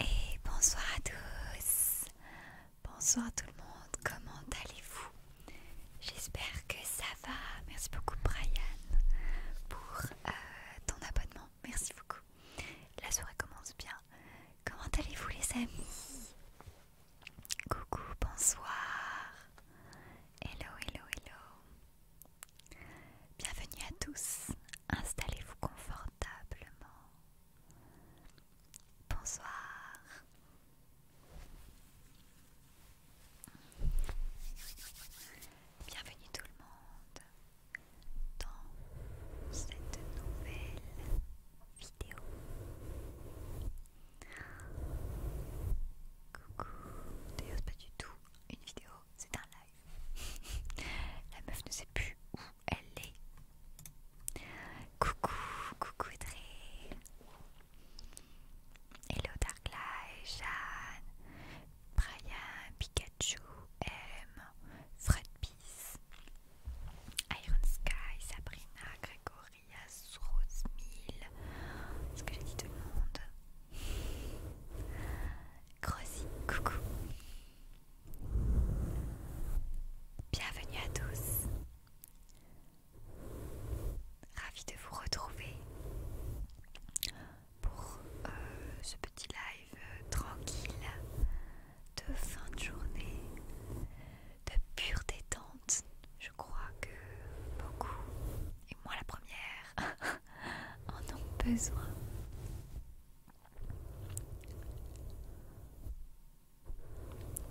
Et bonsoir à tous. Bonsoir tout le monde. Comment allez-vous J'espère que ça va. Merci beaucoup Brian pour euh, ton abonnement. Merci beaucoup. La soirée commence bien. Comment allez-vous les amis Coucou, bonsoir. Hello, hello, hello. Bienvenue à tous. Installez-vous confortablement. Bonsoir. Bienvenue tout le monde dans cette nouvelle Coucou. D'ailleurs, pas du tout une vidéo, c'est un live. La meuf ne sait plus où elle est. Coucou, coucou Dre. Hello Live Jeanne, Brian, Pikachu, M, Fred Iron Sky, Sabrina, Gregoria, Rosemille, ce que j'ai dit tout le monde. Rosie, coucou. Bienvenue à tous. Ravi de vous retrouver pour euh, ce petit live euh, tranquille de fin de journée, de pure détente. Je crois que beaucoup, et moi la première, en ont besoin.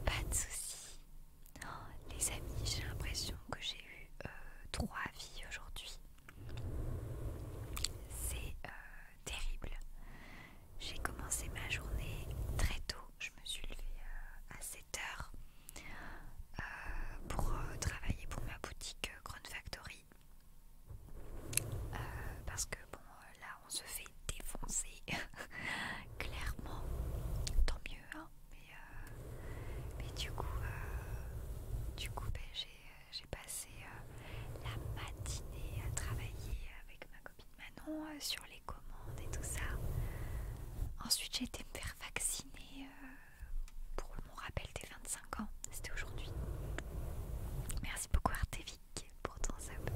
Pas de soucis. les amis, j'ai l'impression que j'ai eu euh, trois vies aujourd'hui. C'est euh, terrible. J'ai commencé ma journée très tôt. Je me suis levée euh, à 7h euh, pour euh, travailler pour ma boutique grande Factory. Parce que bon, là on se fait défoncer clairement. Tant mieux, hein. Mais, du coup, du coup, ben, j'ai passé la matinée à travailler avec ma copine Manon euh, sur les commandes et tout ça. Ensuite, j'ai été me faire vacciner euh, pour mon rappel des 25 ans. C'était aujourd'hui. Merci beaucoup, Artevic, pour ton sub.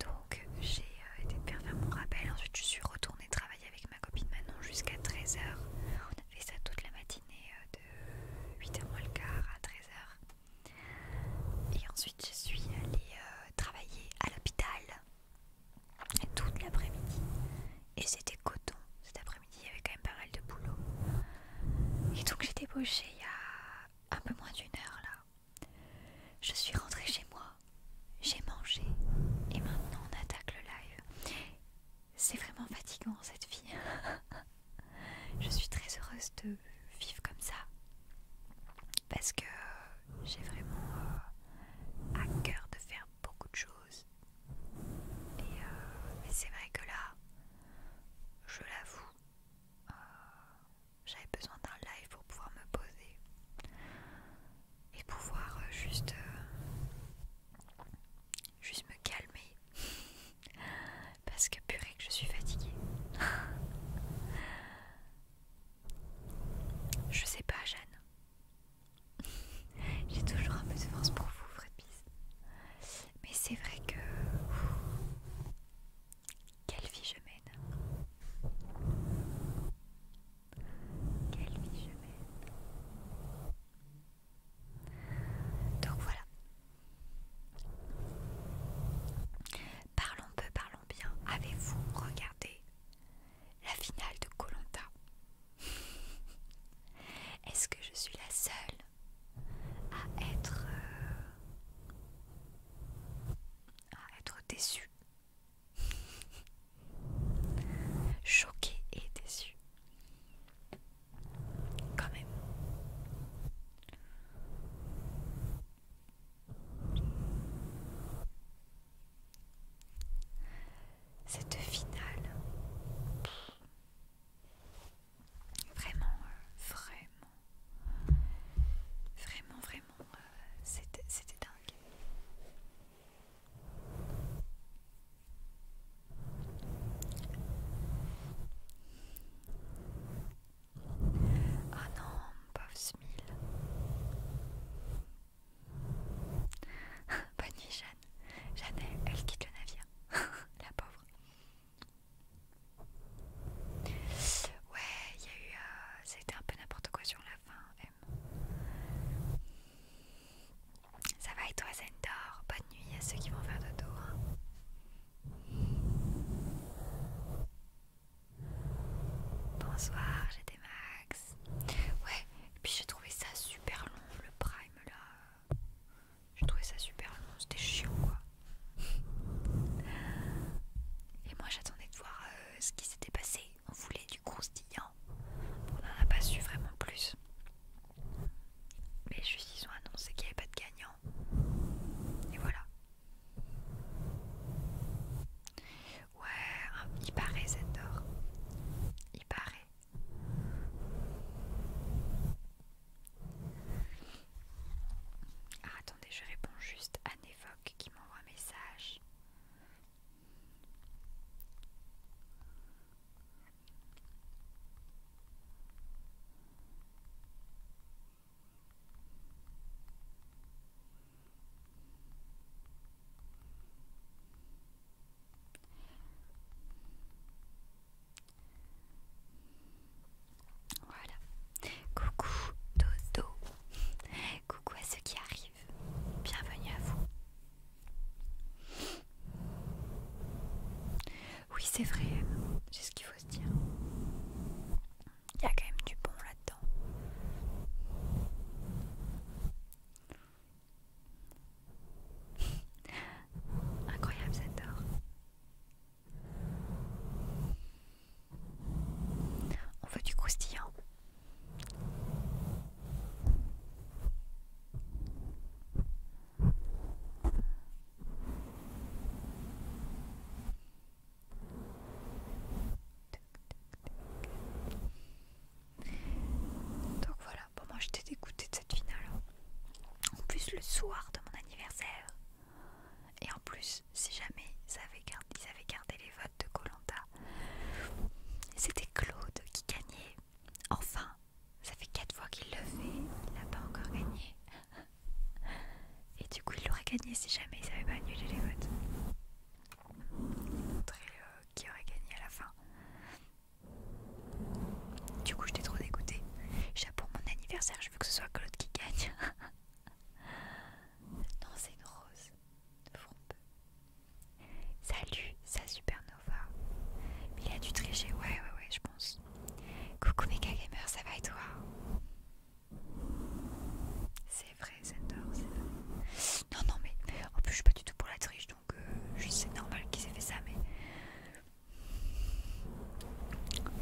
Donc, j'ai euh, été me faire faire mon rappel. Ensuite, je suis retournée travailler avec ma copine Manon jusqu'à 13h. On a fait ça toute la matinée de 8h moins le quart à 13h. Et ensuite, je suis allée euh, travailler à l'hôpital toute l'après-midi. Et c'était coton. Cet après-midi, il y avait quand même pas mal de boulot. Et donc, j'ai débauché il y a un peu moins d'une heure là. Je suis rentrée chez moi, j'ai mangé et maintenant on attaque le live. C'est vraiment fatigant cette vie. Je suis très heureuse de vivre comme ça parce que j'ai vraiment euh, à cœur de faire beaucoup de choses. Et euh, c'est vrai que là, je l'avoue, euh, j'avais besoin d'un live pour pouvoir me poser et pouvoir juste, juste me calmer Parce que purée que je suis fatiguée. je sais pas Jeanne. J'ai toujours un peu de force pour vous, Fredbise. Mais c'est vrai que... Quelle vie je mène. Quelle vie je mène. Donc voilà, Parlons peu, parlons bien. Avez-vous regardé la finale de Colanta Est-ce que je suis la seule à être euh, à être déçue Choquée et déçue. Quand même. Cette finale, vraiment, euh, vraiment, vraiment, vraiment, euh, c'était dingue. Oh non, pauvre Smil. Bonne nuit, Jeanne. Jeanne, elle, quitte le navire. La pauvre. Ouais, il y a eu. C'était euh, un peu n'importe quoi sur la fin, Ça va et toi, Zendor Bonne nuit à ceux qui vont faire dodo. Hein. Bonsoir, j'étais Max. Ouais, et puis j'ai trouvé ça super long, le prime là. J'ai trouvé ça super long, c'était chiant quoi. Et moi j'attendais de voir euh, ce qui s'était passé. On voulait du croustillant. On n'en a pas su vraiment plus. Mais juste ils ont annoncé qu'il n'y avait pas de gagnant. Et voilà. Ouais, il paraît cette Il paraît. Ah, attendez, je réponds juste à Nevoque qui m'envoie un message. Voilà. Coucou Dodo. Coucou à ceux qui arrivent. Bienvenue à vous. Oui, c'est vrai, c'est ce qu'il faut se dire. Il y a quand même du bon là-dedans. Incroyable cette On veut du croustillant. Donc voilà, bon moi j'étais dégoûtée de cette finale. En plus le soir de mon anniversaire. Et en plus, si jamais ils avaient gardé, les votes de Colanta, c'était Claude qui gagnait. Enfin, ça fait quatre fois qu'il le fait, il n'a pas encore gagné. Et du coup, il l'aurait gagné si jamais il savait pas annulé les votes. Montrer euh, qui aurait gagné à la fin. Du coup, j'étais trop dégoûtée. J'ai pour mon anniversaire, je veux que ce soit Claude qui gagne. non, c'est une rose Salut, ça Salut, Nova. supernova. Il a dû tricher, ouais, ouais, ouais, je pense. Coucou Mega Gamer, ça va et toi C'est vrai, Zendor, c'est vrai. Non, non, mais en plus, je suis pas du tout pour la triche, donc euh, c'est normal qu'ils aient fait ça, mais.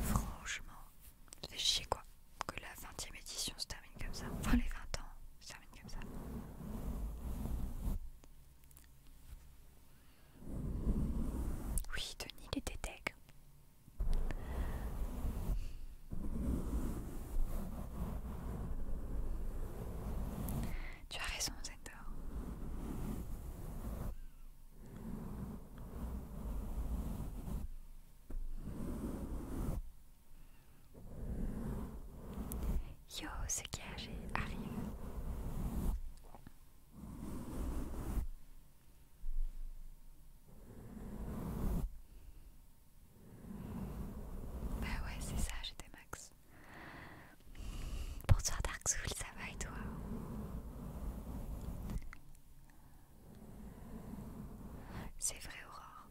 Franchement, ça fait chier quoi. Que la 20ème édition se termine comme ça. Enfin, les 20 ans se terminent comme ça. Oui, Denis, il était tu as raison, Zendor. Yo, c'est qui arrive. Bah ouais, c'est ça, j'étais Max. Pour toi Dark Soul, ça va et toi C'est vrai Aurore.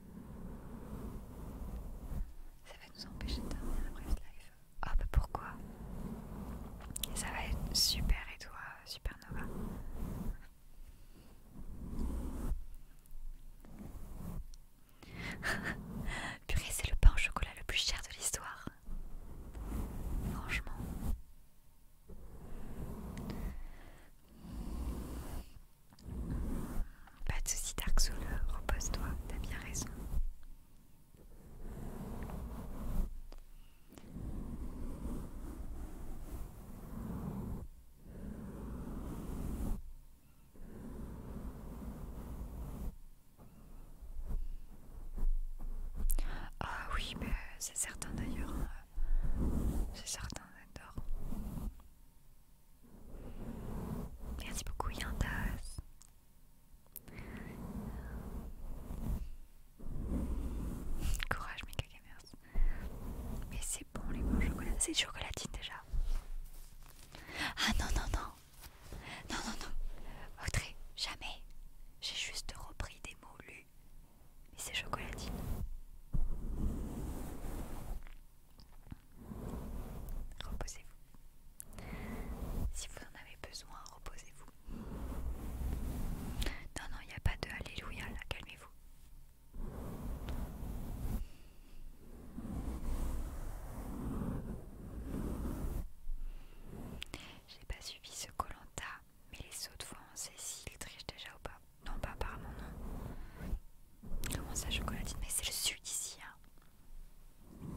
Ça va nous empêcher de terminer la live. Hop, ah, bah pourquoi Ça va être super et toi supernova. Purée, c'est le pain au chocolat le plus cher de l'histoire. Franchement. Pas de soucis Dark Soul, repose-toi, t'as bien raison. Ah oui, mais bah, c'est certain d'ailleurs. C'est certain, j'adore. Merci beaucoup, Yandas. Courage, mes Gamers. Mais c'est bon, les bons chocolats. C'est chocolatine déjà. Ah non, non, non. Non, non, non. jamais. J'ai juste repris des mots lus. Mais c'est chocolatine. Reposez-vous. Si vous en avez besoin, reposez-vous. Non, non, il n'y a pas de Alléluia là, calmez-vous. J'ai pas suivi ce Colanta, mais les autres fois on sait s'ils trichent déjà ou pas. Non, pas apparemment, non. Comment ça, chocolatine Mais c'est le sud ici, hein.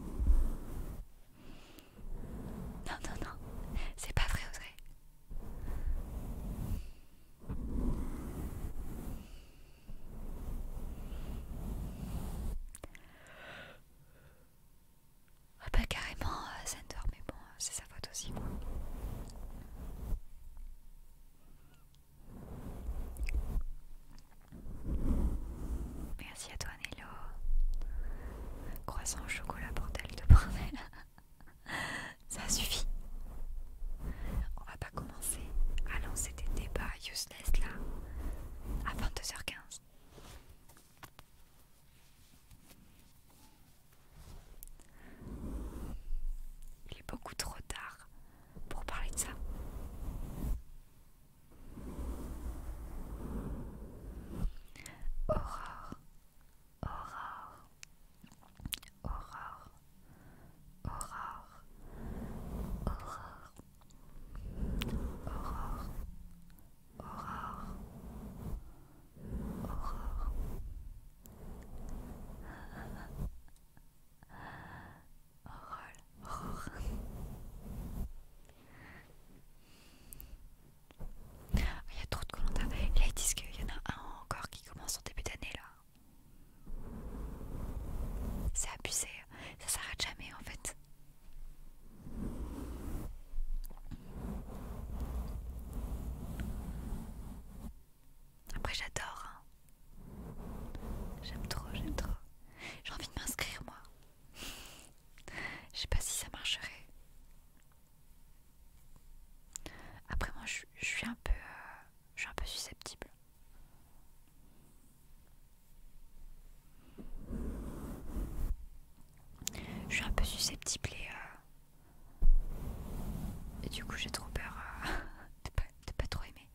Non, non, non, c'est pas vrai, Audrey. Ah, bah, carrément, euh, mais bon, euh, c'est sa faute aussi, Merci à toi, Nello. Croissant au chocolat, bordel de bordel. Ça suffit. On va pas commencer à lancer des débats useless là à 22h15. Il est beaucoup trop tard pour parler de ça. Aurore, aurore, aurore, aurore, aurore, aurore, aurore, aurore. Aurore, ah, il y a trop de commentaires. Là, ils disent qu'il y en a un encore qui commence en début d'année là. C'est abusé, ça s'arrête jamais en fait. Après, j'adore. Hein. J'aime trop, j'aime trop. J'ai envie de m'inscrire moi. Je sais pas si ça marcherait. Après moi je, suis un peu euh, je suis un peu susceptible. Je suis un peu susceptible et, euh, du coup j'ai trop peur euh, de, pas, trop aimer.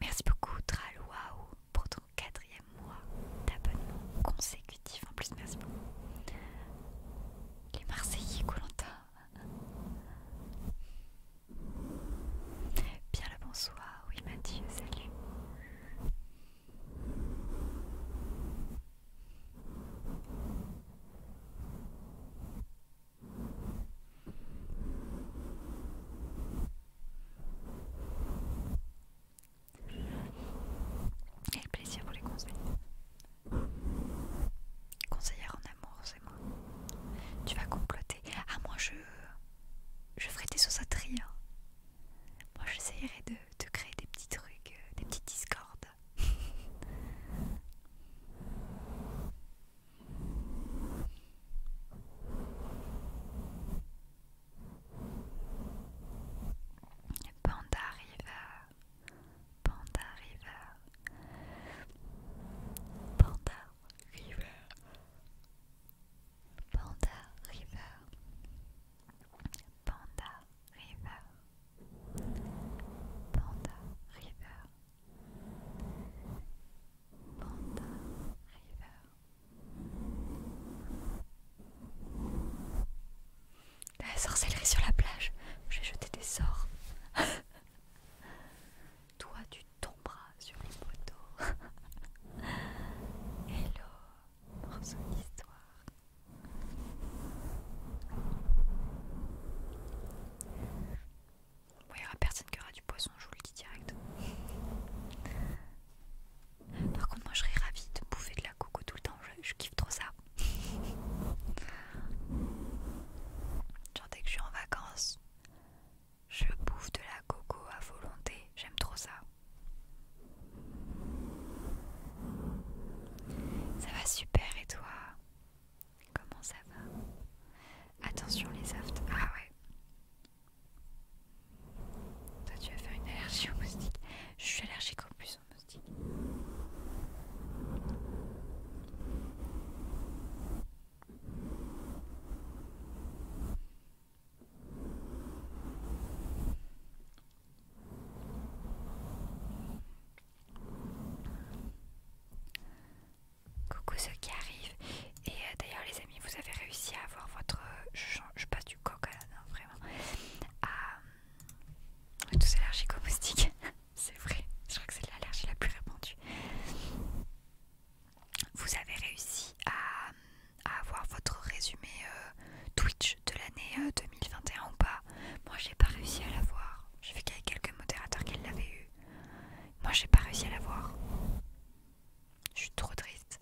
Merci beaucoup Tralwaou pour ton quatrième mois d'abonnement consécutif. En plus, merci beaucoup. Les Marseillais Colanta. Bien le bonsoir, oui Mathieu, salut. Et le plaisir pour les conseils. Conseillère en amour, c'est moi. Tu vas comploter. Ah, moi je. Je ferai des sa hein. Moi j'essayerai de, créer des petits trucs, euh, des petites discordes. Panda River, Panda River, Panda River, Panda River, Panda River, Panda River, Panda River. La sorcellerie sur la plage. J'ai jeté des sorts. Toi, tu tomberas sur les poteaux. Hello, morceau d'histoire. Bon, il n'y aura personne qui aura du poisson, je vous le dis direct. Par contre, moi je serais ravie de bouffer de la coco tout le temps, je, kiffe trop ça. Genre, dès que je suis en vacances, je bouffe de la coco à volonté, j'aime trop ça. Ça va super, et toi Comment ça va Attention les softs Ah ouais. Toi, tu vas faire une allergie aux moustiques. Je suis allergique en plus aux moustiques. Coucou ceux qui arrivent. Et euh, d'ailleurs les amis, vous avez réussi à avoir votre... Je, passe du coq à vraiment tous allergiques aux moustiques, c'est vrai. Je crois que c'est l'allergie la plus répandue. Vous avez réussi à, avoir votre résumé euh, Twitch de l'année 2021 euh, ou pas Moi, j'ai pas réussi à l'avoir. J'ai vu qu'il y avait quelques modérateurs qui l'avaient eu. Moi, j'ai pas réussi à l'avoir. Je suis trop triste.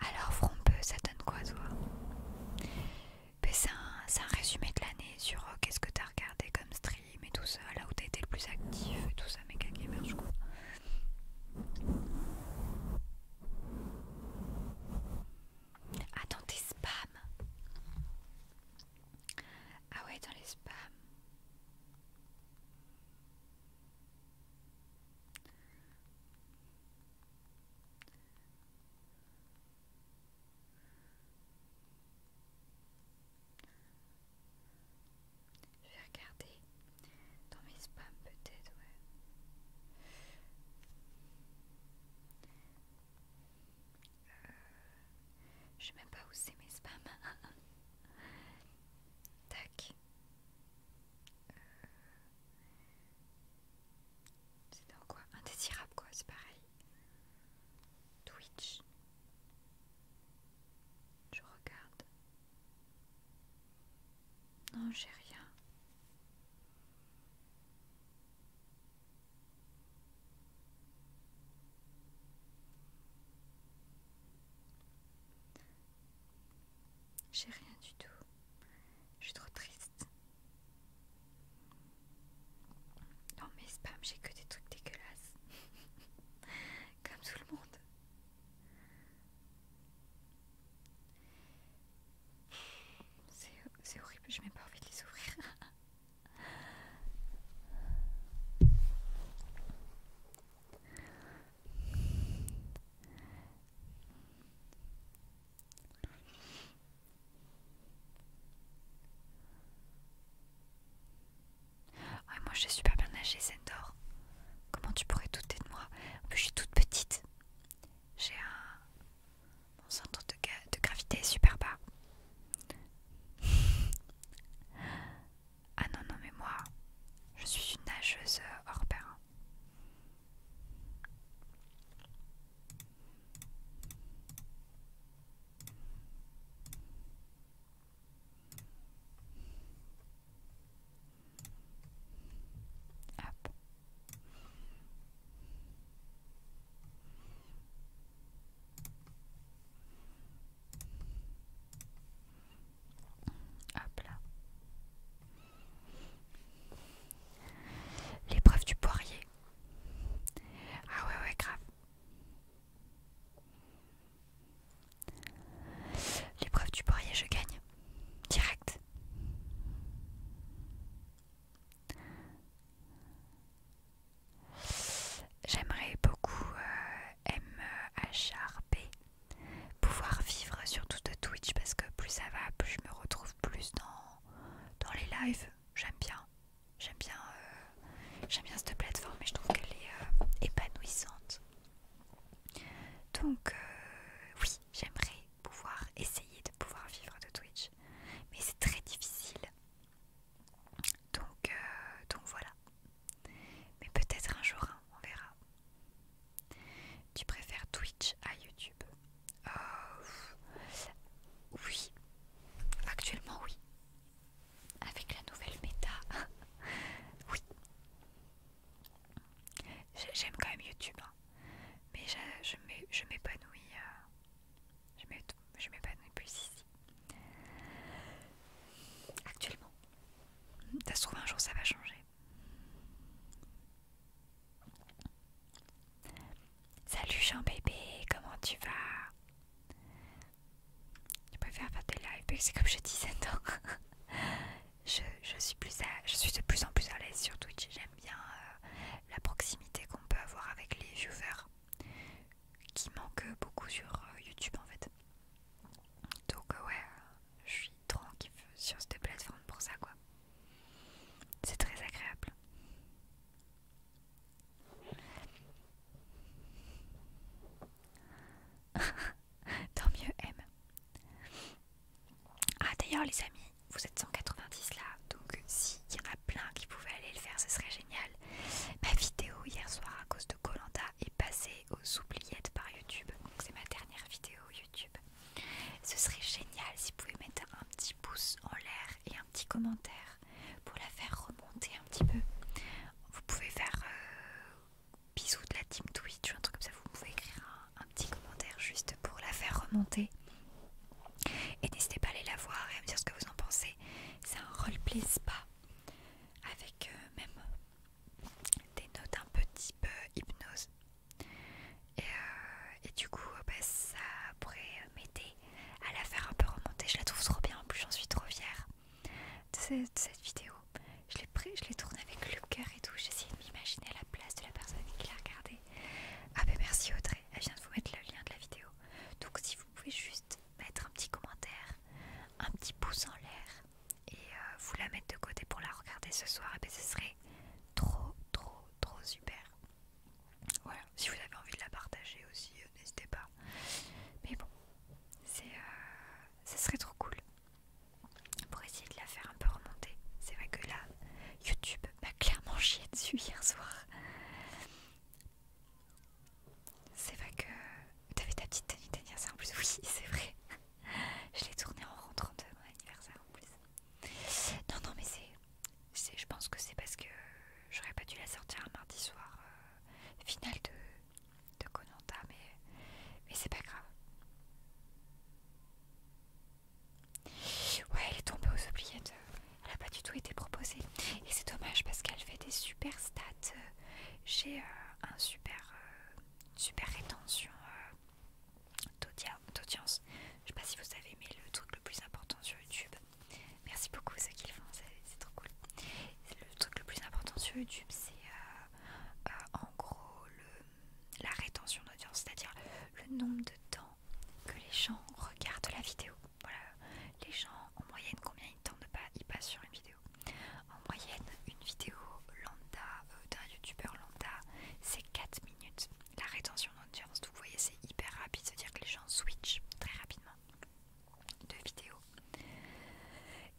Ah Alors, Frompeux, ça donne quoi, toi ben, C'est un, résumé de l'année sur euh, qu'est-ce que t'as regardé comme stream mais et tout ça, là où t'as été le plus actif et tout ça, mes gamer, je crois. Ah, dans tes spams! Ah, ouais, dans les spams. Je vais regarder dans mes spams peut-être, ouais. Euh, je sais même pas où c'est mes spams. Tac. Euh, c'est dans quoi Indésirable quoi, c'est pareil. Twitch. Je regarde. Non, j'ai rien. J'ai rien du tout. Je suis trop triste. Non mais spam, j'ai que des trucs dégueulasses. comme tout le monde. C'est horrible, je n'ai pas envie de les ouvrir moi je super bien c'est Zendor. Comment tu pourrais douter de moi En plus, je suis toute petite. J'ai un. Mon centre de, gravité est super bas. ah non, non, mais moi, je suis une nageuse euh, hors pair. L'épreuve du poirier. Ah ouais ouais grave. L'épreuve du poirier, je gagne. Direct. J'aimerais beaucoup euh, MHRP euh, pouvoir vivre sur de Twitch parce que plus ça va, plus je me retrouve plus dans, dans les lives. J'aime bien. J'aime bien euh, j'aime bien cette plateforme et je trouve qu'elle est euh, épanouissante. Donc euh, oui, j'aimerais pouvoir essayer de pouvoir vivre de Twitch, mais c'est très difficile. Donc, euh, donc voilà. Mais peut-être un jour, hein, on verra. Tu préfères Twitch à YouTube Oui. Actuellement, oui avec la nouvelle méta. oui. J'aime quand même YouTube, hein. mais je m'épanouis. Euh, je m'épanouis plus ici. Actuellement. Ça se trouve, un jour ça va changer. Salut Jean bébé, comment tu vas je préfère faire des lives, c'est comme je disais, ans. je, je, suis plus je suis de plus en plus à l'aise sur Twitch. J'aime bien euh, la proximité qu'on peut avoir avec les viewers qui manque beaucoup sur euh, YouTube en fait. Donc euh, ouais, je suis tranquille sur cette plateforme pour ça quoi. C'est très agréable. Tant mieux, M. Ah, d'ailleurs, les amis, vous êtes 190 là, donc s'il y en a plein qui pouvaient aller le faire, ce serait génial. Ma vidéo hier soir à cause de Colanda est passée aux oubliettes par YouTube, donc c'est ma dernière vidéo YouTube. Ce serait génial si vous pouviez mettre un petit pouce en l'air et un petit commentaire pour la faire remonter un petit peu. Vous pouvez faire euh, bisous de la team Twitch ou un truc comme ça. Vous pouvez écrire un, petit commentaire juste pour la faire remonter. Et n'hésitez pas à aller la voir et à me dire ce que vous en pensez. C'est un roleplay spa avec euh, même des notes un petit peu euh, hypnose. Et, du coup, bah, ça pourrait m'aider à la faire un peu remonter. Je la trouve trop bien, en plus j'en suis trop fière de cette, je cette vidéo. Je l'ai tournée avec le coeur et tout. J'essayais de m'imaginer à la place de la personne qui l'a regardée. Ah ben merci Audrey, elle vient de vous mettre le lien de la vidéo. Donc si vous pouvez juste mettre un petit commentaire, un petit pouce en l'air et euh, vous la mettre de côté pour la regarder ce soir, et eh ben ce serait trop trop trop super. Voilà, si vous avez envie de la partager aussi, euh, n'hésitez pas. Mais bon, c'est ça euh, serait trop cool pour essayer de la faire un peu remonter c'est vrai que là YouTube m'a clairement chié dessus hier soir c'est vrai que t'avais ta petite tenue d'anniversaire en plus oui c'est vrai je l'ai tournée en rentrant de mon anniversaire en plus non non mais c'est je pense que c'est parce que j'aurais pas dû la sortir un mardi soir final euh, finale de de Konanta, mais, mais c'est pas grave. Ouais, elle est tombée aux oubliettes. Elle a pas du tout été proposée. Et c'est dommage parce qu'elle fait des super stats. J'ai euh, un super, euh, super rétention euh, d'audience. Je sais pas si vous avez aimé le truc le plus important sur YouTube. Merci beaucoup ceux qui le font, c'est trop cool le truc le plus important sur YouTube, c'est euh, euh, en gros la rétention d'audience, c'est-à-dire le nombre de temps que les gens regardent la vidéo. Voilà, les gens en moyenne combien ils passent sur une vidéo. En moyenne, une vidéo lambda euh, d'un youtubeur lambda, c'est 4 minutes. La rétention d'audience, vous voyez, c'est hyper rapide, c'est-à-dire que les gens switchent très rapidement de vidéos.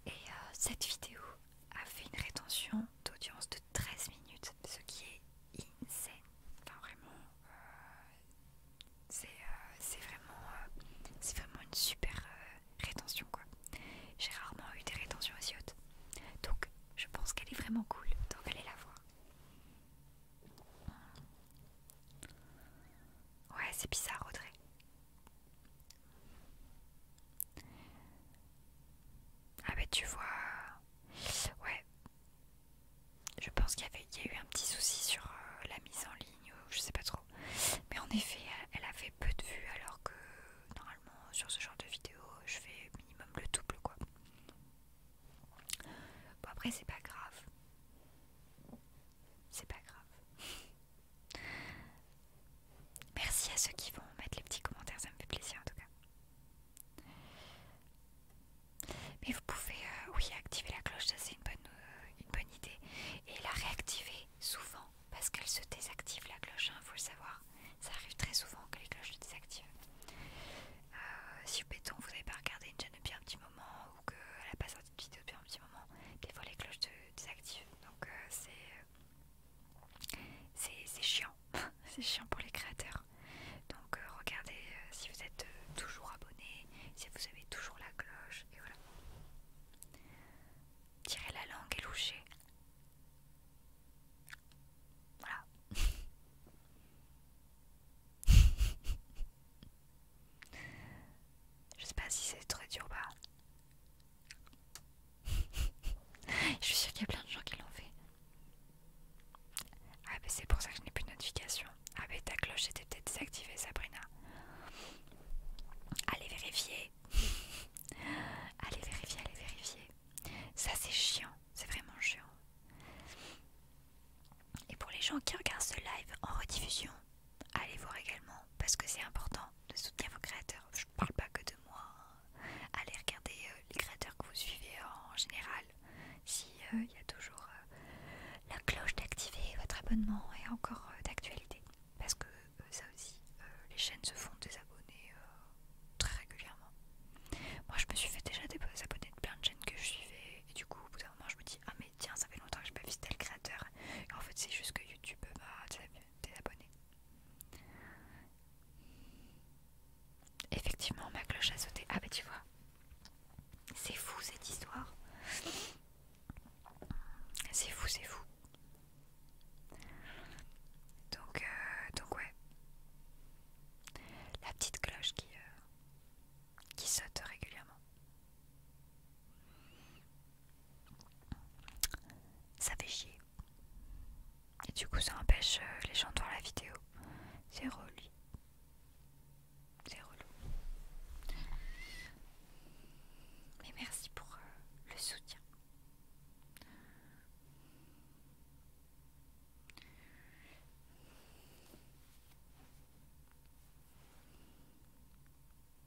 Et euh, cette vidéo a fait une rétention d'audience de 13 minutes, ce qui est insane. Enfin vraiment, euh, euh, c'est vraiment, c'est vraiment une super rétention quoi. J'ai rarement eu des rétentions aussi hautes. Donc je pense qu'elle est vraiment cool, donc allez la voir. Ouais, c'est bizarre Audrey. Ah bah tu vois... Ouais. Je pense qu'il y, y a eu un petit souci sur euh, la mise en ligne, ou je sais pas trop. Mais en effet, elle, avait peu de vues alors que normalement sur ce genre de vidéo, je fais minimum le double quoi. Bon après c'est pas grave. C'est pas grave. Merci à ceux qui vont mettre les petits commentaires, ça me fait plaisir en tout cas. Mais vous pouvez, euh, oui, activer la cloche, ça c'est une, bonne euh, une bonne idée. Et la réactiver souvent, parce qu'elle se désactive la cloche, il hein, faut le savoir. Ça arrive très souvent que les cloches se désactivent. Euh, si au béton vous n'avez pas regardé une chaîne depuis un petit moment ou qu'elle n'a pas sorti vidéo depuis un petit moment, des fois les cloches de désactives, donc euh, euh, c'est c'est chiant, c'est chiant pour les créateurs. Donc euh, regardez si vous êtes toujours abonné, si vous avez toujours la cloche, et voilà. Tirez la langue et louchez. Voilà. Je sais pas si c'est très dur ou pas. je suis sûre qu'il y a plein de gens qui l'ont fait. Ah, bah c'est pour ça que je n'ai plus de notification. Ah, bah ta cloche était peut-être désactivée, Sabrina. Allez vérifier. allez vérifier, allez vérifier. Ça, c'est chiant. C'est vraiment chiant. Et pour les gens qui regardent ce live en rediffusion, allez voir également parce que c'est important de soutenir vos créateurs. Je ne parle pas que de moi. Hein. Allez regarder euh, les créateurs que vous suivez en général. s'il euh, y a toujours euh, la cloche d'activer votre abonnement et encore d'actualité. Parce que ça aussi, les chaînes se font des abonnés très régulièrement. Moi je me suis fait déjà des abonnés de plein de chaînes que je suivais et du coup je me dis ah mais tiens ça fait longtemps que j'ai pas vu le créateur et en fait c'est juste que YouTube euh, bah t'es abonné effectivement ma cloche a sauté ah bah tu vois c'est fou cette histoire c'est fou c'est fou donc euh, donc ouais la petite cloche qui euh, qui saute régulièrement ça fait chier. Et du coup, ça empêche euh, les gens de voir la vidéo. C'est relou. C'est relou. Mais merci pour euh, le soutien.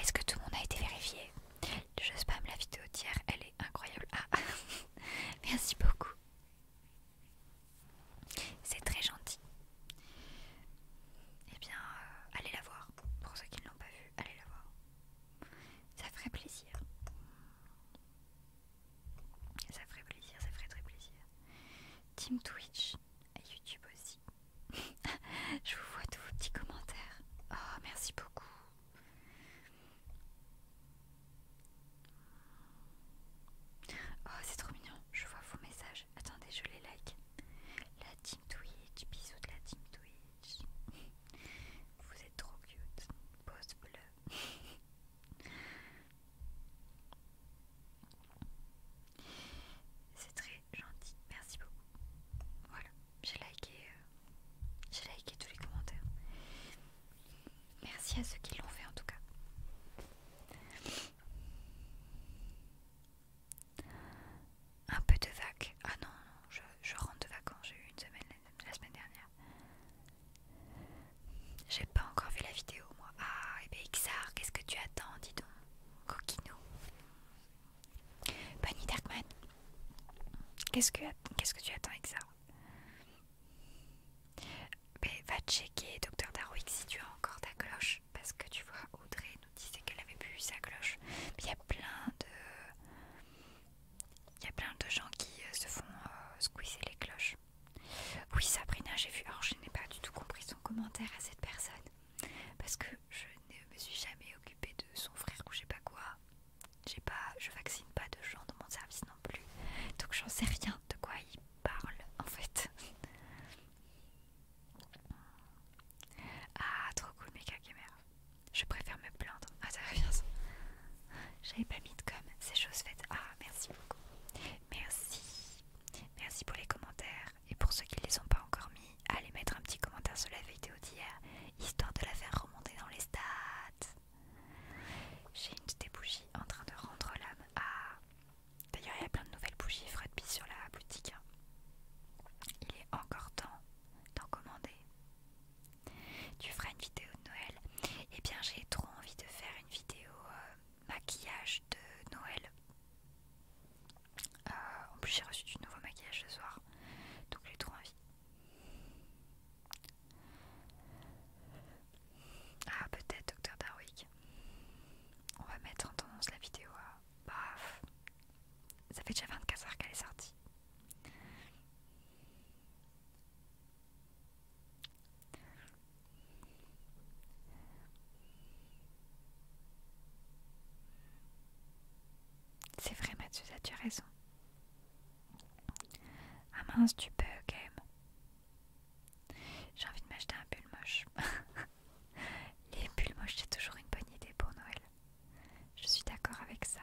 Est-ce que tout le monde a été vérifié Je spam la vidéo d'hier, elle est incroyable. Ah, ah. Merci beaucoup. C'est très gentil. Eh bien, euh, allez la voir. Pour ceux qui ne l'ont pas vue, allez la voir. Ça ferait plaisir. Ça ferait plaisir, ça ferait très plaisir. Team Twitch et YouTube aussi. Je vous vois tous vos petits commentaires. Oh, merci beaucoup. Oh, c'est trop mignon. Je vois vos messages. Attendez, je les like. La team Twitch, bisous de la team Twitch. Vous êtes trop cute. Pause C'est très gentil, merci beaucoup. Voilà, j'ai liké, euh, j'ai liké tous les commentaires. Merci à ceux qui l'ont fait en tout cas. Un peu de vague. Ah non, je rentre de vacances. J'ai eu une semaine la semaine dernière. J'ai pas encore vu la vidéo, moi. Ah, et eh bien Xar, qu'est-ce que tu attends, dis donc Coquino. Bonnie Darkman. Qu'est-ce que, qu'est-ce que tu attends, Xar mais ben, va checker Docteur Darwick si tu as encore ta cloche parce que tu vois Audrey nous disait qu'elle avait plus sa cloche. il y a plein de il y a plein de gens qui euh, se font euh, squeezer les cloches. Oui, Sabrina, j'ai vu. Alors, je n'ai pas du tout compris son commentaire à cette personne. Parce que je ne me suis jamais occupée de son frère ou je sais pas quoi. J'ai pas, je vaccine pas de gens dans mon service non plus. Donc, j'en sais rien de quoi il parle en fait. Ah, trop cool, mes cacamères Je préfère me plaindre. Ah, ça revient ça. J'avais pas mis de com, ces choses faites. Ah, merci beaucoup. Merci. Merci pour les commentaires. Et pour ceux qui ne les ont pas encore mis, allez mettre un petit commentaire sur la vidéo d'hier, histoire de la faire remonter dans les stats. J'ai une des bougies en train de rendre l'âme à... D'ailleurs, il y a plein de nouvelles bougies Fred sur la boutique. Hein. Il est encore temps d'en commander. Tu feras une vidéo de Noël Eh bien, j'ai trop envie de faire une vidéo... Euh, maquillage de Noël. Euh, en plus j'ai reçu du nouveau maquillage ce soir, donc j'ai trop envie. Ah peut-être Docteur Darwick. On va mettre en tendance la vidéo à... ça fait déjà 24 heures qu'elle est sortie. C'est vrai Mathieu, tu as raison. Ah mince, tu peux quand même. J'ai envie de m'acheter un pull moche. Les pulls moches, c'est toujours une bonne idée pour Noël. Je suis d'accord avec ça.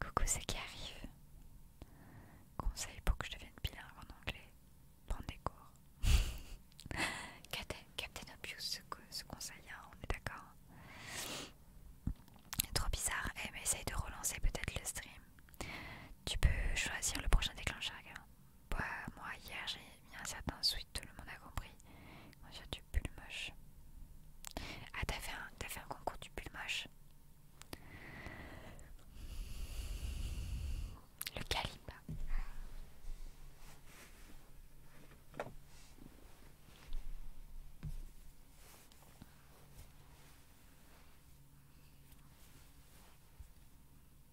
Coucou, c'est qui arrive. Conseil pour que je devienne bilingue en anglais. Prendre des cours. Captain, Obvious, ce, conseil, hein, on est d'accord. Trop bizarre. Eh, essaye de relancer peut-être le stream. Tu peux choisir le prochain déclencheur, bah, moi, hier, j'ai mis un certain suite tout le monde a compris. Moi, j'ai du pull moche. Ah, t'as fait, un, fait un concours du pull moche Le calibre.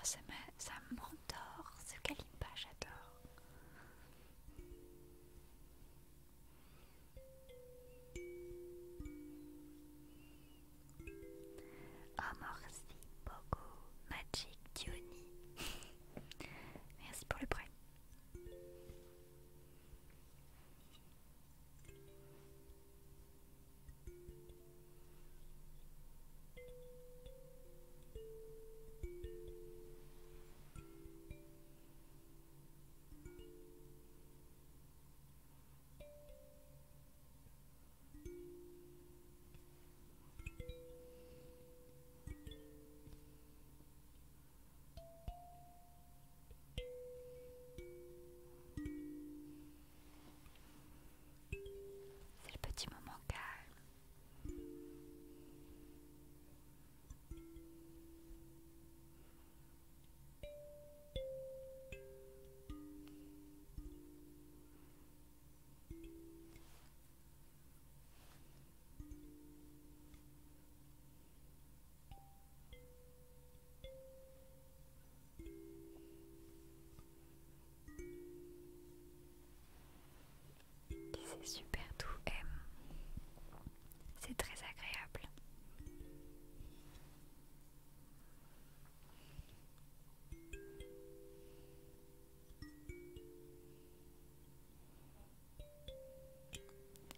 Ah, ça m'endort, ce pas, j'adore. Oh merci beaucoup Magic Diony Merci pour le prêt c'est le petit moment calme. C'est super doux, C'est très agréable.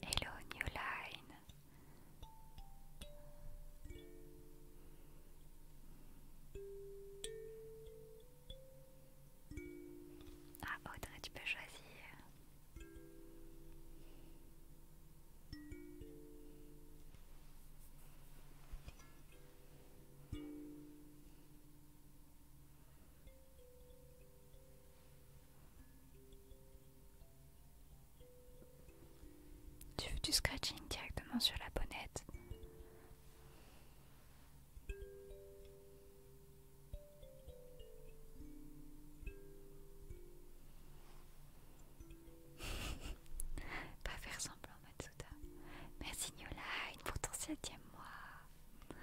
Hello New Line. Ah Audrey, tu peux choisir. Tu veux du scratching directement sur la bonnette Pas faire semblant, maintenant Merci Merci une pour ton septième mois.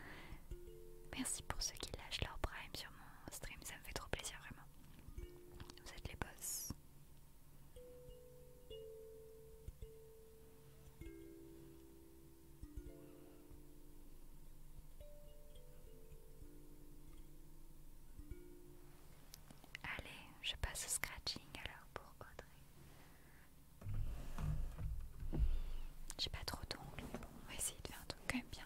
Merci pour ceux qui lâchent leur prime sur mon stream, ça me fait trop plaisir vraiment. Vous êtes les boss. Allez, je passe au scratching alors pour Audrey. J'ai pas trop d'ongles, on va essayer de faire un truc quand même bien.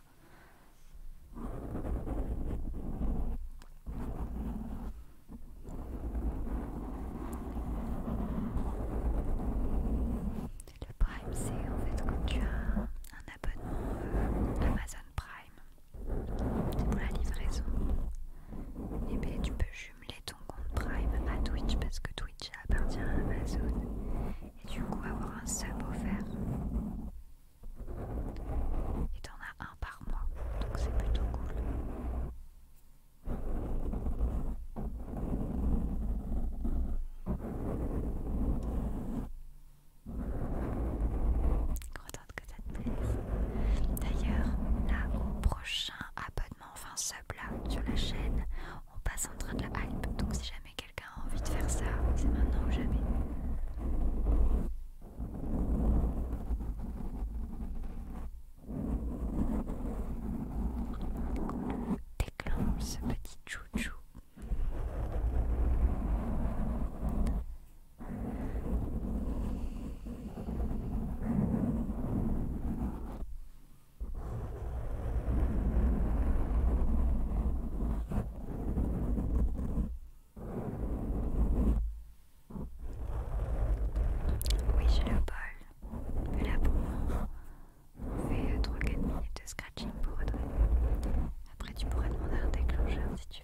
Le Prime, c'est en fait quand tu as un abonnement euh, Amazon Prime, pour la livraison. Et eh bien tu peux jumeler ton compte Prime à Twitch parce que Twitch appartient à Amazon et du coup avoir un sub offert. Et t'en as un par mois, donc c'est plutôt cool que ça te plaise. D'ailleurs, là, au prochain abonnement, enfin sub là, sur la chaîne, on passe en train de la hype. Donc si jamais quelqu'un a envie de faire ça, c'est maintenant ou jamais. Déclenche ce petit chouchou. Oui, j'ai le bol. Mais là pour moi, on fait 3-4 euh, minutes de scratching pour redonner. Après, tu pourrais demander un déclencheur si tu veux.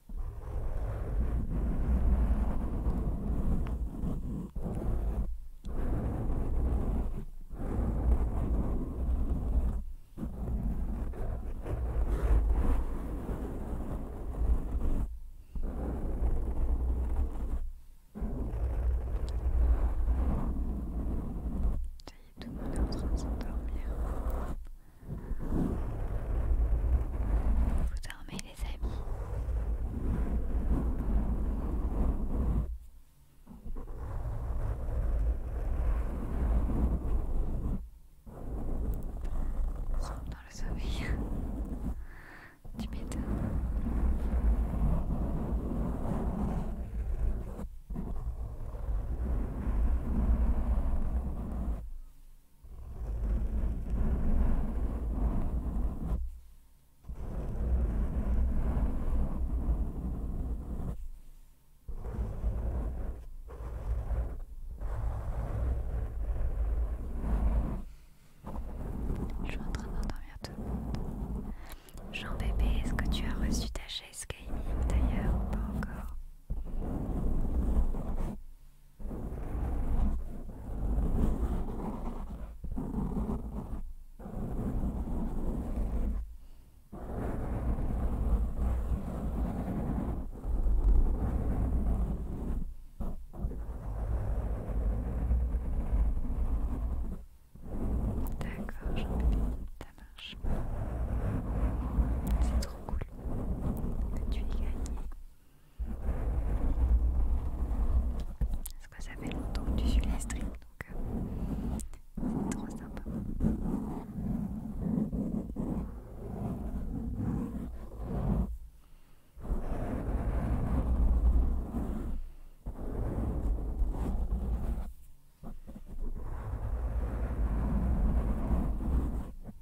Ça y est, tout le monde est en train de s'endormir. Vous dormez les amis dans le sommeil du m'étonnes je suis en train d'endormir tout le Jean bébé, est-ce que tu as reçu ta chaise gaming d'ailleurs ou pas encore D'accord, ça marche. C'est trop cool que Tu es gagné. Parce que ça fait longtemps que tu suis les streams, donc euh, c'est trop sympa.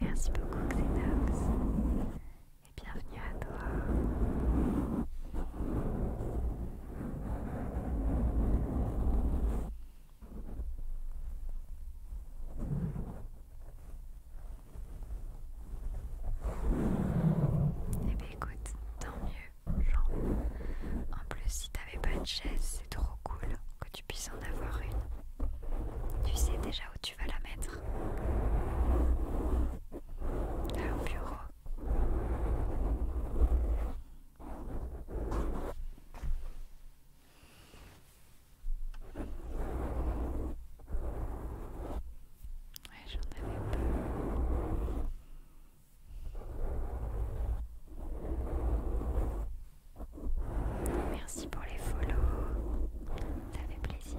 Merci beaucoup Xenox et bienvenue à toi. Eh bien écoute, tant mieux. En plus, si t'avais pas de chaise, c'est trop cool que tu puisses en avoir une. Tu sais déjà où tu vas la mettre. au bureau. Ouais, j'en avais Merci pour les follows ça fait plaisir.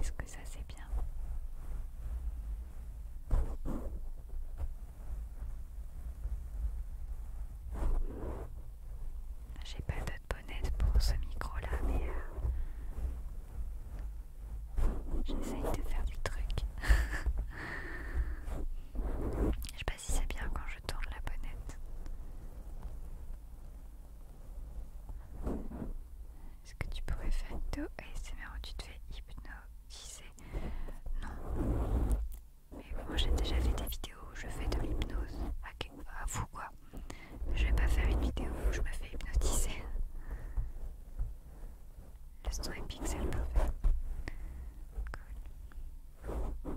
Est-ce que ça c'est bien j'ai pas d'autre bonnet pour ce micro là, mais euh, J'essaye de faire du truc. je sais pas si c'est bien quand je tourne la bonnette. Est-ce que tu pourrais faire do ASMR où tu te fais hypnotiser Non. Mais moi j'ai déjà fait des vidéos où je fais de l'hypnose. À vous quoi. Je vais pas faire une vidéo où je me fais hypnotiser. Le son est pixel parfait. Cool.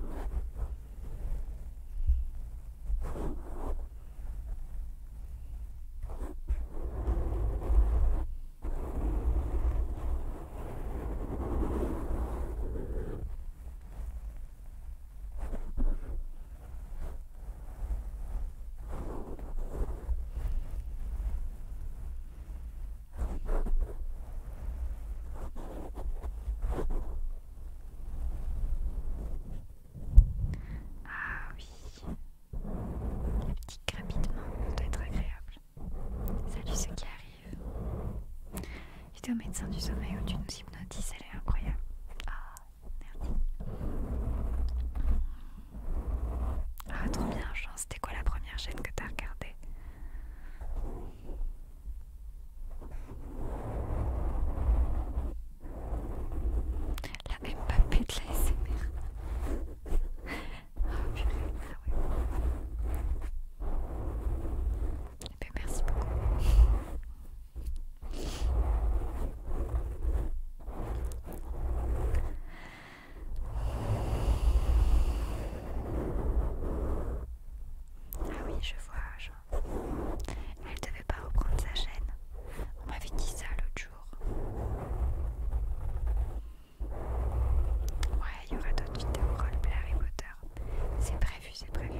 Ah oui, les petits rapidement, ça doit être agréable. Salut ceux qui arrivent. J'étais au médecin du sommeil où tu nous hypnotises, elle est incroyable. Ah, merde. Ah, trop bien, Jean. C'était quoi la première chaîne que t'as regardée La de la SMR. ah oui. merci beaucoup. Ah oui, je vois, elle devait pas reprendre sa chaîne. On m'avait dit ça l'autre jour. Ouais, il y aura d'autres vidéos roleplay Harry Potter. C'est prévu, c'est prévu.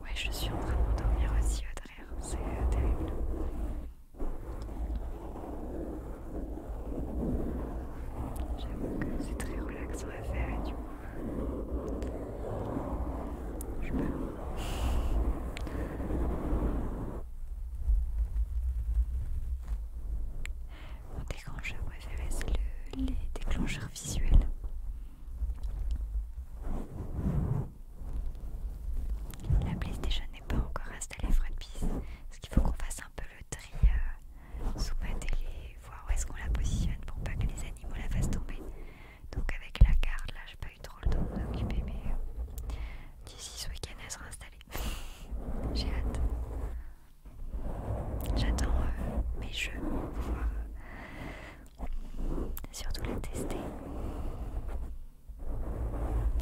Ouais, je suis en train de m'endormir aussi, derrière, hein, c'est euh, terrible. J'avoue que c'est très relaxant à faire et du coup, euh, je peux mon déclencheur préféré, c'est le, les déclencheurs visuels. La déjà n'est pas encore installée est Ce qu'il faut qu'on fasse un peu le tri euh, sous ma télé, voir où est-ce qu'on la positionne pour pas que les animaux la fassent tomber. Donc avec la carte là j'ai pas eu trop le temps de m'occuper mais euh, d'ici ce week-end elle sera installée. j'ai hâte. J'attends euh, mes jeux pour pouvoir euh, surtout les tester.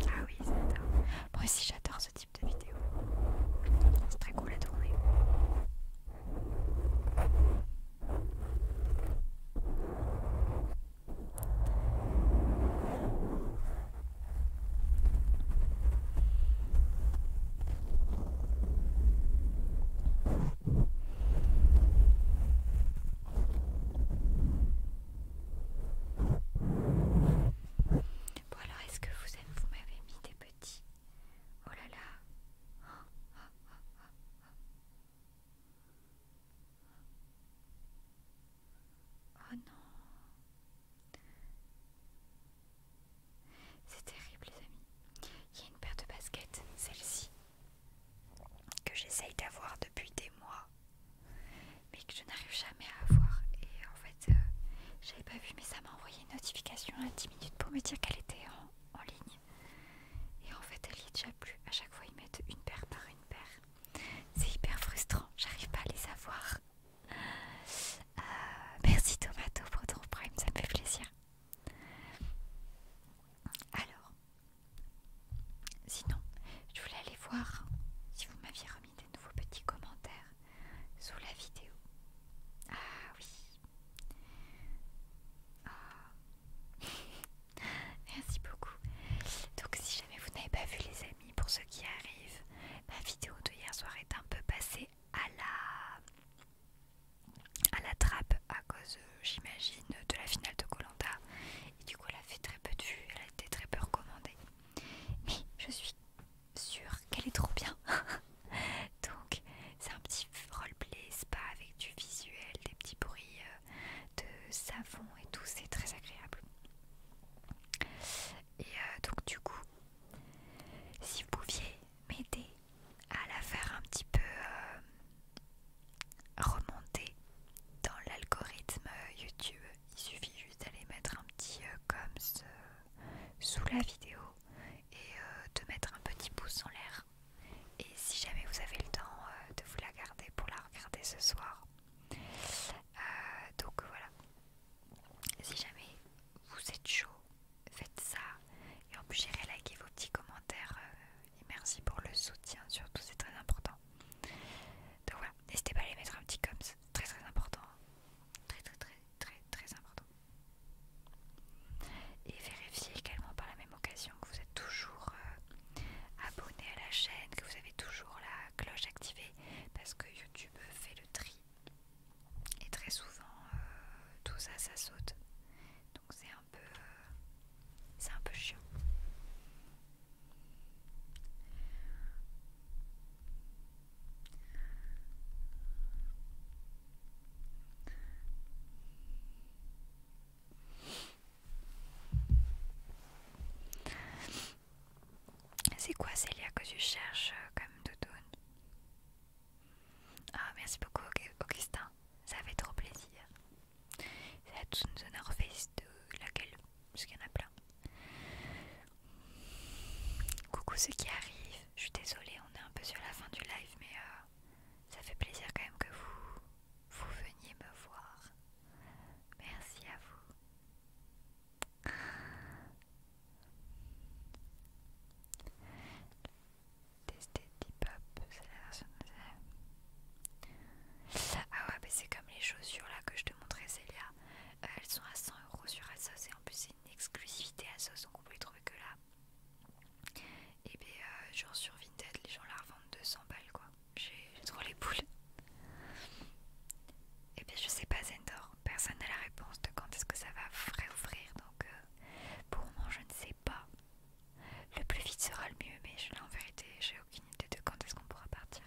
Ah oui, j'adore. Moi aussi j'adore ce type de vidéo. C'est très cool à tourner. Bon alors est-ce que vous êtes, vous m'avez mis des petits Oh là là Oh non. C'est terrible les amis. Il y a une paire de baskets, celle-ci, que j'essaye d'avoir depuis des mois, mais que je n'arrive jamais à avoir. Et en fait, euh, j'avais pas vu, mais ça m'a envoyé une notification à 10 minutes pour me dire qu'elle était en, ligne. Et en fait, elle y est déjà plus. À chaque fois, ils mettent une paire par une paire. C'est hyper frustrant, j'arrive pas à les avoir. Euh, merci Tomato pour ton prime, ça me fait plaisir. Alors, sinon, je voulais aller voir si vous m'aviez remis des nouveaux petits commentaires sous la vidéo. Ah oui. Ah. Merci beaucoup. Donc si jamais vous n'avez pas vu les amis, pour ceux qui arrivent, ma vidéo de hier soir est un peu passée à la à la trappe à cause, euh, j'imagine, de la finale de Colanta. Et du coup, elle a fait très peu de vues, elle a été très peu recommandée. Mais je suis sûre qu'elle est trop bien. Donc c'est un petit roleplay spa avec du visuel, des petits bruits euh, de savon et tout, c'est très agréable. Et euh, donc du coup, si vous pouviez m'aider à la faire un petit peu euh, remonter dans l'algorithme YouTube, il suffit juste d'aller mettre un petit euh, comme ce sous la vidéo et de mettre un petit pouce en l'air. Et si jamais vous avez le temps de vous la garder pour la regarder ce soir. Euh, donc voilà. Si jamais vous êtes chaud, faites ça. Et en plus, j'irai liker vos petits commentaires. Euh, et merci pour le soutien, surtout, c'est très important. Donc voilà, n'hésitez pas à les mettre un petit comme, c'est très très important. Très très très très très important. Et vérifiez également par la même occasion que vous êtes toujours euh, abonné à la chaîne, que vous avez toujours la cloche activée, parce que YouTube fait le tri. Et très souvent, euh, tout ça, ça saute. Donc c'est un peu... Euh, c'est un peu chiant. C'est quoi Célia que tu cherches euh, comme d'automne Ah merci beaucoup Augustin, ça fait trop plaisir. C'est la de de laquelle, parce qu'il y en a plein. Coucou ceux qui arrivent, je suis désolée, on est un peu sur la fin du live mais euh, ça fait plaisir quand même que vous, vous veniez me voir. Merci à vous. Tester Deepop, c'est la version de... Ah ouais, c'est comme les chaussures là que je te montrais, Célia. Euh, elles sont à 100€ sur Asos et en plus c'est une exclusivité Asos, donc on peut trouver que là. Et bien, euh, genre sur Vinted, les gens la revendent 200 balles quoi j'ai trop les boules. Et eh bien je sais pas Zendor, personne n'a la réponse de quand est-ce que ça va réouvrir, donc euh, pour moi je ne sais pas. Le plus vite sera le mieux, mais je, là en vérité j'ai aucune idée de quand est-ce qu'on pourra partir.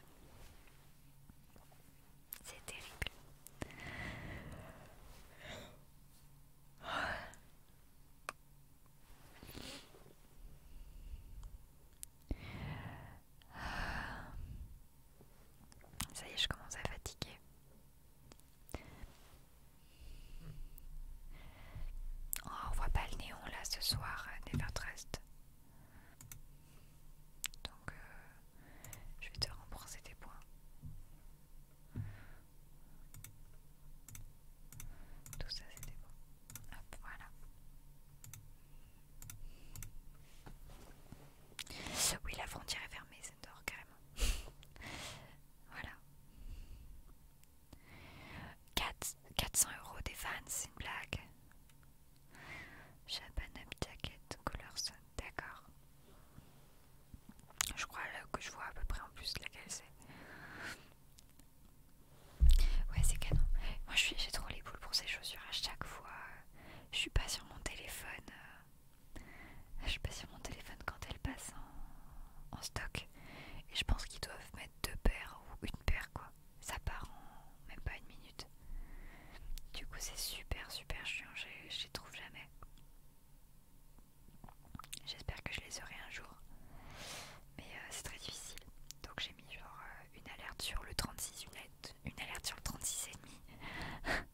C'est terrible. Ça y est, je commence à fatiguer. Oh, on voit pas le néon là ce soir à euh, Nevertrust. Donc euh, je vais te rembourser tes points. Tout ça c'était bon. Hop, voilà. Oui, la frontière est fermée, c'est dehors carrément. voilà. 400 euros des fans, c'est une blague. Japanab jacket, color sun, d'accord. Je crois que je vois à peu près en plus laquelle c'est. Ouais, c'est canon. Moi, j'ai trop les boules pour ces chaussures à chaque fois. Je suis pas sur mon téléphone. Euh, je suis pas sur mon téléphone quand elles passent en, stock. Et je pense qu'ils doivent mettre deux paires ou une paire, quoi. Ça part en même pas une minute. Du coup, c'est super, super chiant. Je les trouve jamais. J'espère que je les aurai un jour. Mais euh, c'est très difficile. Donc j'ai mis genre euh, une alerte sur le 36, une une alerte sur le 36 et demi.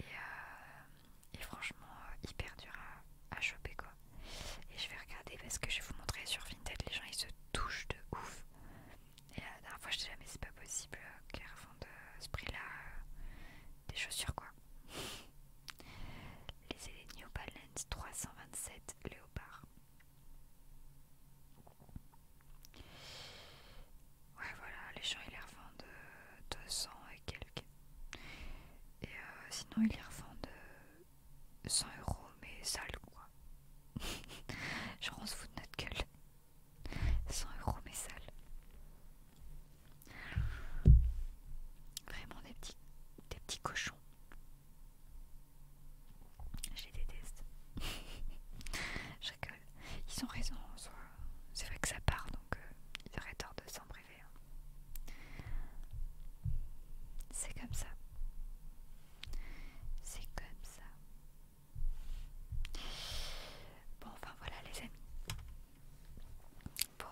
Euh, et, franchement euh, hyper dur à, choper quoi. Et je vais regarder parce que je vais vous montrer sur Vinted les gens ils se touchent de ouf. Et la dernière fois je disais mais c'est pas possible car avant de ce prix là des chaussures quoi. les New Balance 327 Léopard. Ouais, voilà, les gens ils les revendent 200 euh, et quelques. Et euh, sinon, ils les revendent 100 euh, euros, mais sales, quoi. Genre, on se fout de notre gueule. 100 euros, mais sale. Vraiment des petits, des petits cochons. Je les déteste. Je rigole. Ils ont raison C'est vrai que ça part, donc euh, ils auraient tort de s'en priver. Hein. C'est comme ça. C'est comme ça. Bon, enfin voilà les amis. Bon,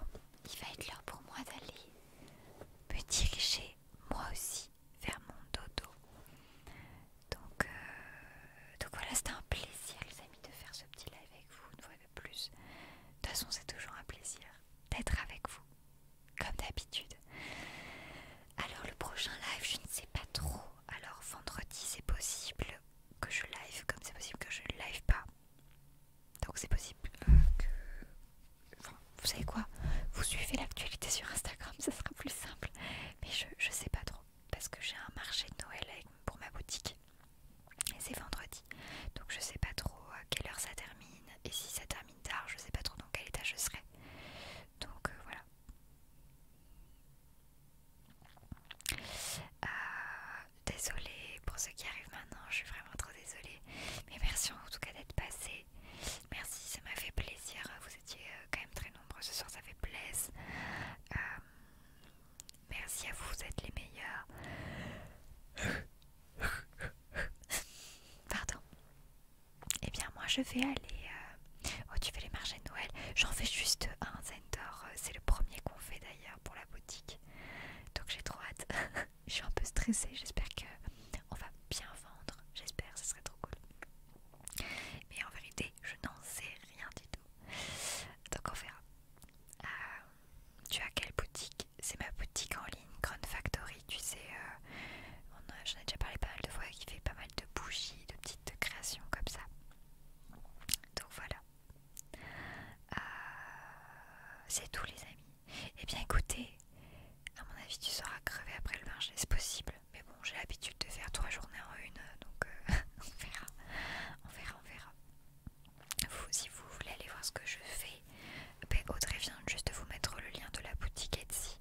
il va être l'heure pour moi d'aller me diriger moi aussi vers mon dodo. Donc, euh, donc voilà, c'était un plaisir les amis de faire ce petit live avec vous une fois de plus. De toute façon, c'est toujours un plaisir d'être avec vous, comme d'habitude. Alors le prochain live, je ne sais pas trop. Alors vendredi, c'est possible que je live, comme c'est possible que je ne live pas. Donc c'est possible euh, que, vous savez quoi Vous suivez l'actualité sur Instagram, ça sera plus simple. Mais je, je sais pas trop. Parce que j'ai un marché de Noël pour ma boutique. Et c'est vendredi. Donc je sais pas trop à quelle heure ça termine. Et si ça termine tard, je sais pas trop dans quel état je serai. Donc euh, voilà. Ah, désolée pour ceux qui arrivent maintenant, je suis vraiment trop désolée. Mais merci en tout cas d'être passé. Merci, ça m'a fait plaisir. Vous étiez euh, quand même très nombreux ce soir, ça fait plaisir. Euh, merci à vous, vous êtes les meilleurs. Pardon. Eh bien, moi je vais aller. Euh, oh, tu fais les marges de Noël. J'en fais juste un Zendor. C'est le premier qu'on fait d'ailleurs pour la boutique. Donc j'ai trop hâte. je suis un peu stressée, j'espère que on va bien vendre, j'espère, ce serait trop cool. Mais en vérité, je n'en sais rien du tout. Donc on verra. Euh, tu as quelle boutique C'est ma boutique en ligne, Grand Factory, tu sais, euh, j'en ai déjà parlé pas mal de fois, qui fait pas mal de bougies, de petites créations comme ça. Donc voilà. Euh, c'est tout les amis. Eh bien écoutez, à mon avis tu seras crevé après le marché, c'est possible. Mais bon, j'ai l'habitude de faire trois journées en une, euh, donc euh, on verra, on verra, on verra. si vous voulez aller voir ce que je fais, ben, Audrey vient juste de vous mettre le lien de la boutique Etsy.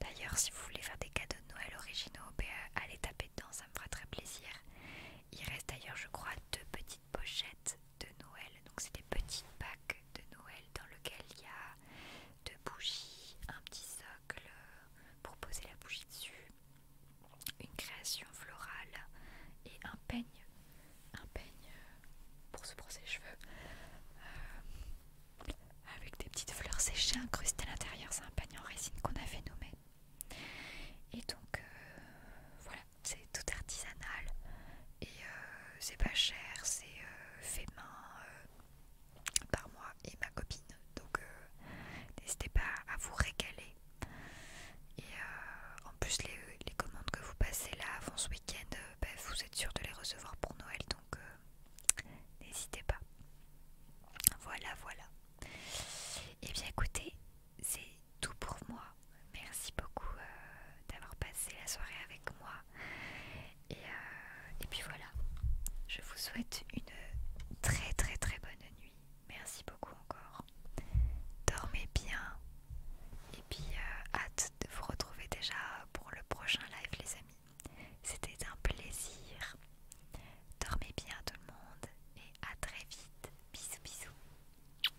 D'ailleurs, si vous voulez faire des cadeaux de Noël originaux, ben, euh, allez taper dedans, ça me fera très plaisir. Il reste d'ailleurs, je crois, deux petites pochettes de Noël. Donc c'est des petites packs de Noël dans lequel il y a deux bougies, un petit socle euh, pour poser la bougie dessus, une création florale et un peigne, un peigne euh, pour se brosser les cheveux euh, avec des petites fleurs séchées incrustées à l'intérieur. C'est un peigne en résine qu'on a fait nommer Et donc voilà, c'est tout artisanal et c'est pas cher, c'est euh, fait main euh, par moi et ma copine. Donc euh, n'hésitez pas à vous régaler. Et en plus, les, commandes que vous passez là avant ce week-end, bah, vous êtes sûr de les recevoir pour Noël. Donc n'hésitez pas. Voilà, voilà. Et eh bien écoutez, c'est tout pour moi. Merci beaucoup d'avoir passé la soirée avec moi. Euh, et, puis voilà, je vous souhaite une très très très bonne nuit. Merci beaucoup encore. Dormez bien. Et puis euh, hâte de vous retrouver déjà pour le prochain live les amis. C'était un plaisir. Dormez bien tout le monde et à très vite. Bisous bisous.